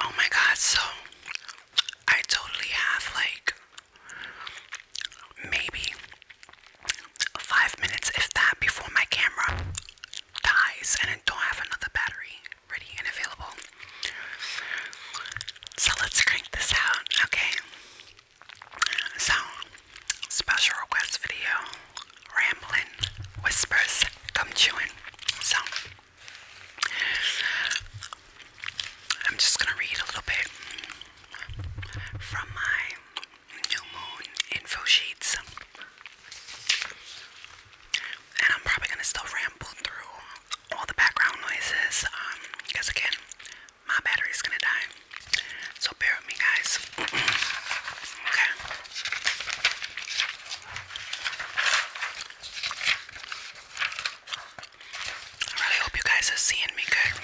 Oh my god, so I totally have like maybe five minutes, if that, before my camera dies and I don't have another battery ready and available. So let's crank this out, okay? So, special request video rambling, whispers, come chewing. So, I'm just going to read a little bit from my new moon info sheets. And I'm probably going to still ramble through all the background noises because, um, again, my battery's going to die. So bear with me, guys. okay. I really hope you guys are seeing me good.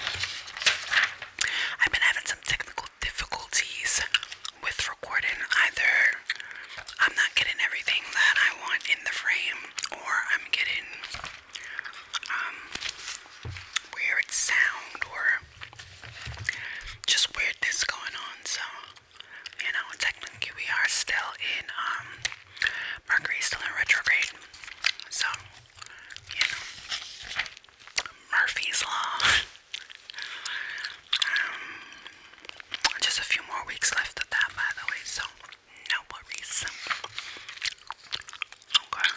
I've been having some technical difficulties with recording. Either I'm not getting everything that I want in the frame, or I'm getting um, weird sound or just weirdness going on. So you know, technically we are still in um Mercury still in retrograde. So, you know, Murphy's law. Um, just a few more weeks left of that by the way, so no worries. Okay.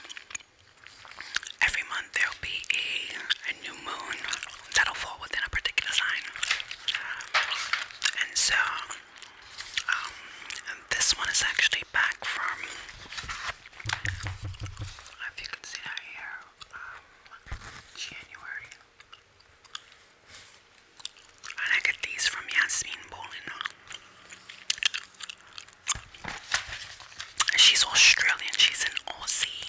Every month there'll be a new moon that'll fall within a particular sign. And so, um, this one is actually back from, if you can see that here, um, January. And I get these from Yasmin Bolin. She's Australian, she's an Aussie.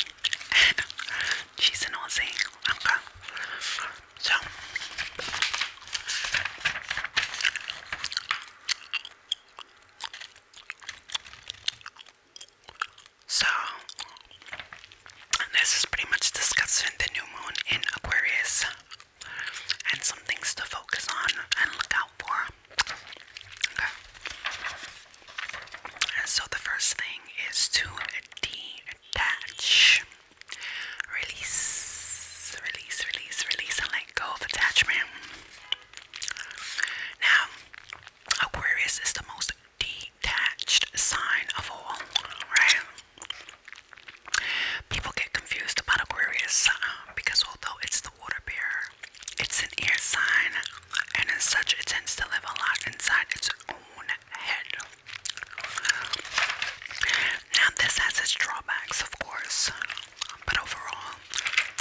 she's an Aussie. So so, this is pretty much discussing the new moon in Aquarius and some things to focus on and look out for. Okay. And so, the first thing is to attach. Release, release, release, release, and let go of attachment. Now, Aquarius is the most detached sign of all, right? People get confused about Aquarius um, because although it's the water bearer, it's an air sign, and as such, it tends to live a lot inside its own head. Now, this has its drawbacks, of course, but overall,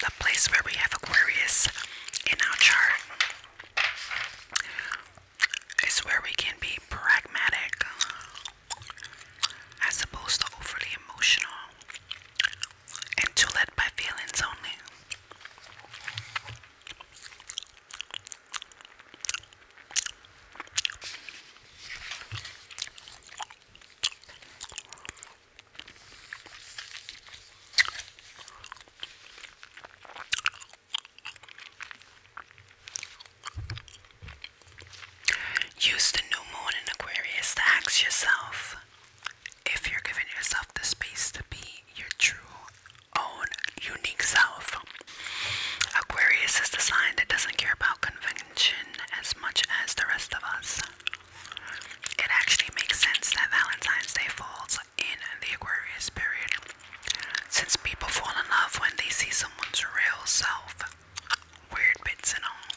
the place where we have Aquarius in our chart is where we can be pragmatic as opposed to overly emotional and too led by feelings only. Use the new moon in Aquarius to ask yourself if you're giving yourself the space to be your true own unique self. Aquarius is the sign that doesn't care about convention as much as the rest of us. It actually makes sense that Valentine's Day falls in the Aquarius period, since people fall in love when they see someone's real self. Weird bits and all.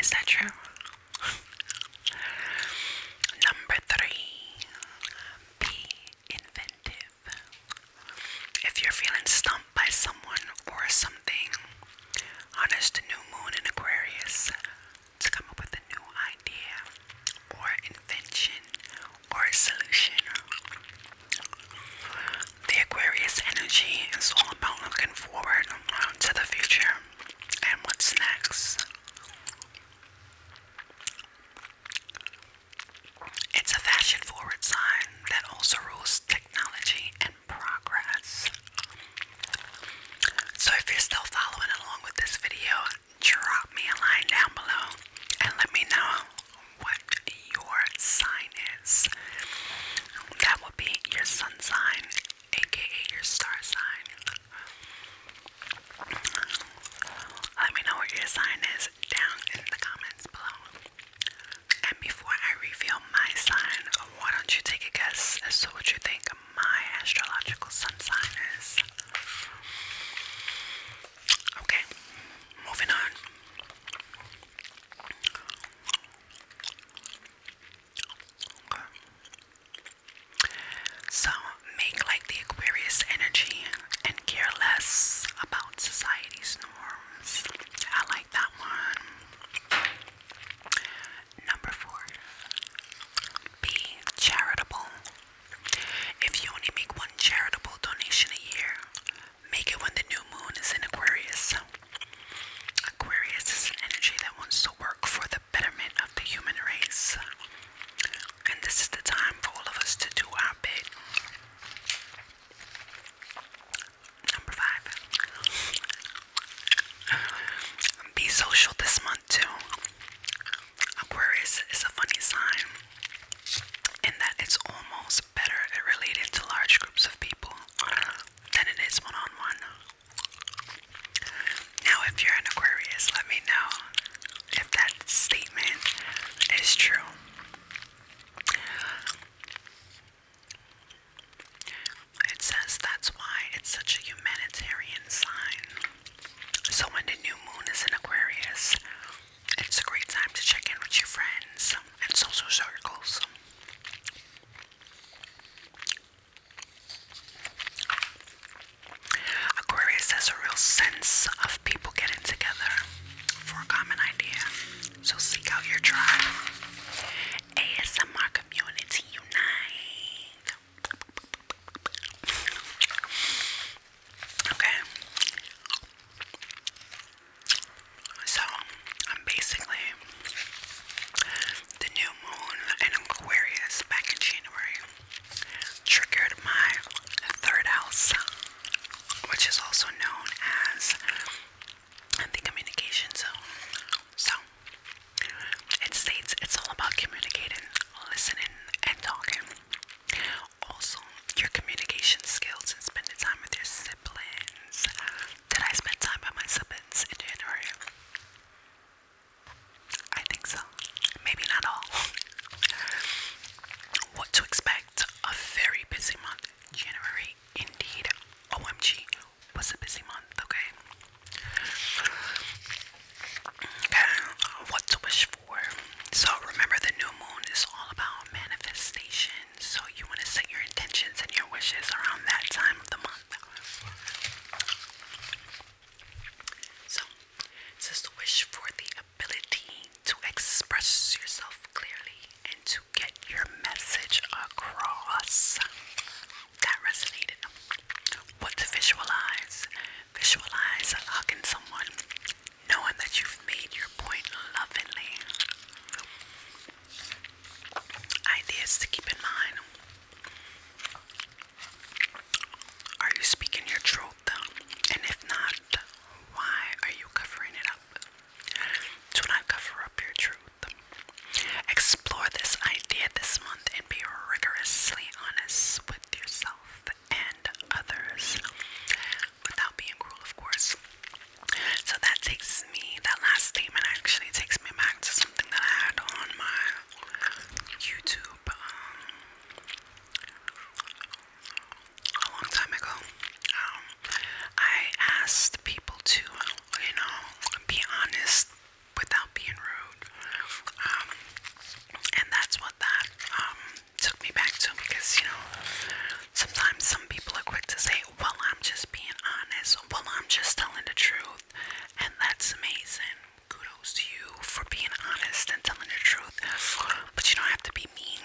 Is that true? Number three. Be inventive. If you're feeling stumped by someone or something, honest new moon in Aquarius to come up with a new idea or invention or solution. The Aquarius energy is all about looking forward to the future and what's next. It's a fashion forward sign that also rules technology and progress. So, if you're still following along with this video, drop me a line down below and let me know what your sign is. That will be your sun sign, aka your star sign. Let me know what your sign is down in the comments below. And before I reveal my sign, why don't you take a guess as to what you think my astrological sun sign is? Okay, moving on. Okay. So, make like the Aquarius energy and care less about society's norms. I like that one. Number four, be charitable. If you only make one charitable donation a year, make it when the new moon is in Aquarius. Aquarius is an energy that wants to work for the betterment of the human race. And this is the time for all of us to do our bit. Number five. Be social this month too. Aquarius is a funny sign in that it's almost better related to large groups of people than it is one on one. Now, if you're an Aquarius, let me know if that statement is true. It says that's why it's such a humanitarian sign. So, when the new moon is in Aquarius, it's a great time to check in with your friends and social circles. Aquarius has a real sense of people getting together for a common idea. So seek out your tribe. ASMR community unite. Okay. So I'm basically the new moon in Aquarius back in January triggered my third house which is also known as the communication zone. So it states it's all about communicating, listening, and talking. Also, your communication skills and spending time with your siblings. Did I spend time by my siblings in January? I think so. Maybe not all. What to expect. It's a very busy month. January, indeed, OMG, was a busy month, okay? Okay, what to wish for. So, remember, the new moon is all about manifestation. So, you want to set your intentions and your wishes around that time of the month. So, this is the wish for the ability to express yourself clearly and to get your message across. That resonated. What to visualize. Visualize hugging someone, knowing that you've made your point lovingly. Ideas to keep in mind. Are you speaking your truth? And if not, why are you covering it up? Do not cover up your truth. Explore this idea this month and be rigorously honest with yourself and others without being cruel, of course. So that takes me, that last statement actually takes me back to something that I had on my YouTube. Um, a long time ago, um, I asked people to, you know, be honest without being rude. Um, and that's what that um, took me back to because, you know, sometimes some people are quick to say, well, I'm just being honest. Well, I'm just telling the truth. And that's amazing. Kudos to you for being honest and telling the truth. But you don't have to be mean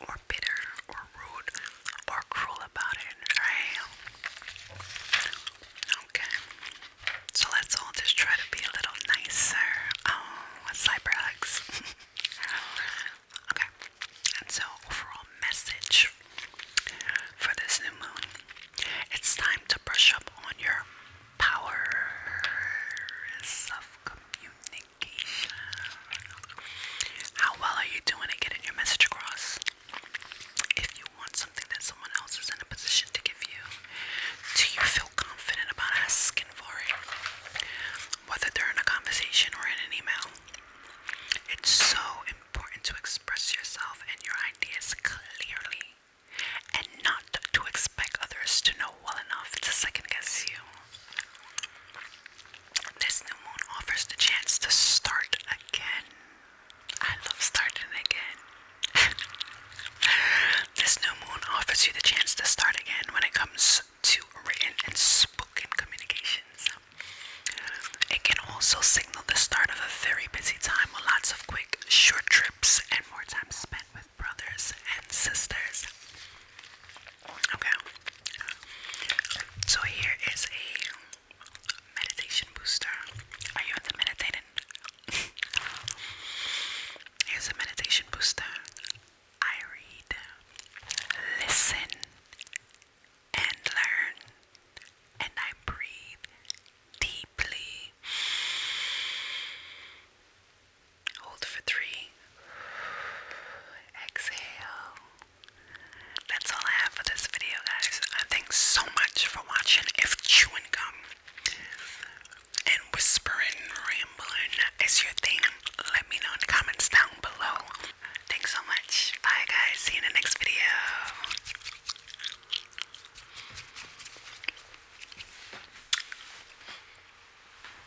or bitter or rude or cruel about it, Okay. So let's all just try to be a little nicer. Oh, um, cyber okay. And so overall message for this new moon. It's time to brush up on your powers of communication. How well are you doing at getting your message across? If you want something that someone else is in a position to give you, do you feel confident about asking for it? Whether they're in a conversation or in an email, it's so important to express yourself and your ideas clearly and not to expect others to know well enough to second guess you. This new moon offers the chance to start again. I love starting again. this new moon offers you the chance to start again when it comes to written and spoken communications. It can also signal the start of a very busy time with lots of quick, short trips and more time spent with brothers and sisters. Okay. So here is a meditation booster. Are you into meditating? Here's a meditation booster. I read, listen, and learn, and I breathe deeply. Hold for three. Exhale. That's all I have for this video, guys. I thank so much for watching. If chewing gum and whispering, rambling is your thing, let me know in the comments down below. Thanks so much. Bye, guys. See you in the next video.